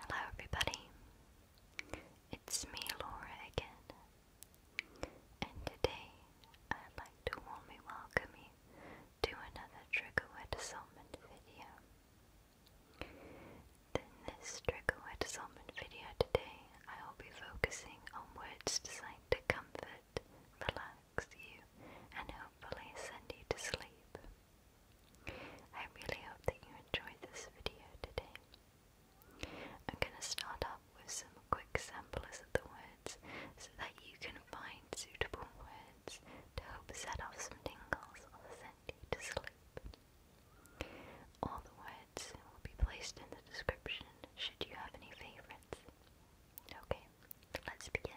Hello, everybody. It's me, Laura, again. And today I'd like to warmly welcome you to another trick word assortment video. In this trigger word assortment video today, I will be focusing on words designed to comfort, relax you, and hopefully send you to sleep. I really hope that you enjoyed this video today. I'm going to start off with some quick samplers of the words so that you can find suitable words to help set off some tingles or send you to sleep. All the words will be placed in the description should you have any favourites. Okay, let's begin.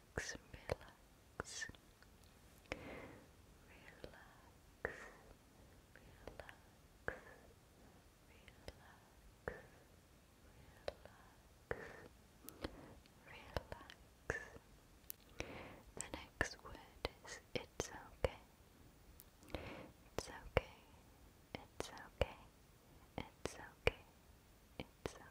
relax, relax, relax, relax, relax. Relax. The next word is it's okay. It's okay. It's okay. It's okay. It's okay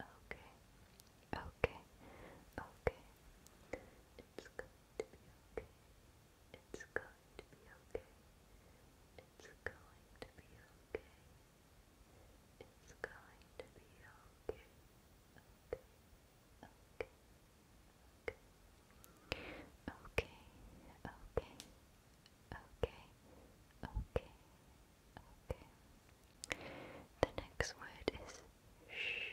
Okay. Okay. Okay. It's going to be okay. It's going to be okay. It's going to be okay. It's going to be okay. Okay. Okay. Okay. Okay. Okay. The next word is shh.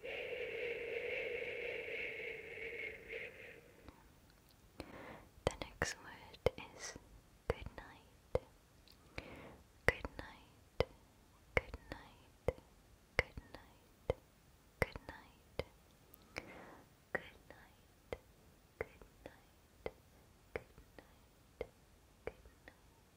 The next word is good night. Good night. Good night. Good night. Good night. Good night. Good night. Good night. Good night.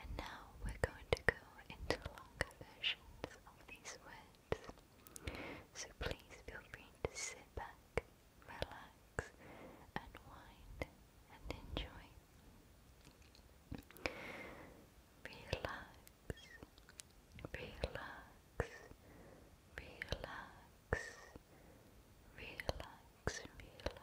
And now we're going to go into longer versions of these words. So please feel free to sit back, relax, unwind, and enjoy. Relax, relax, relax, relax, relax.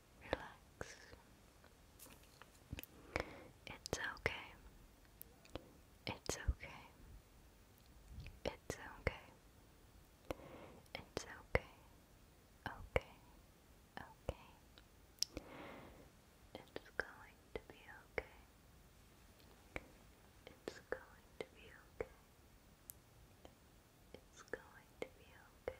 relax. It's okay. It's okay. It's okay. It's okay. Okay. Okay. It's going to be okay. It's going to be okay. It's going to be okay.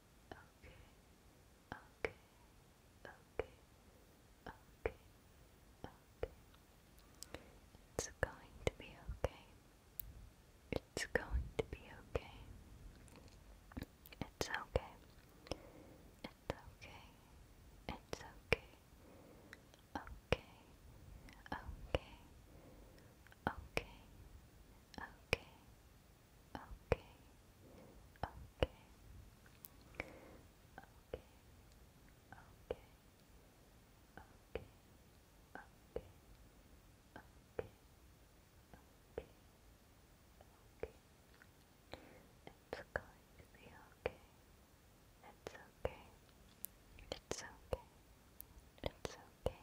okay, okay, okay, okay, okay. It's going to be okay. It's going to be okay. It's okay. It's okay. It's okay. Okay. Okay. Okay. Okay. Okay okay, okay, okay, okay, okay, okay, okay, okay, okay. It's going to be okay. It's okay. It's okay. It's okay.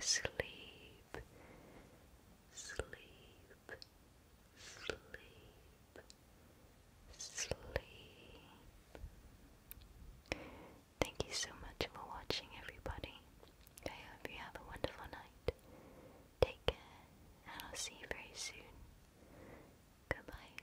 sleep, sleep, sleep, sleep. Thank you so much for watching, everybody. I hope you have a wonderful night. Take care, and I'll see you very soon. Goodbye.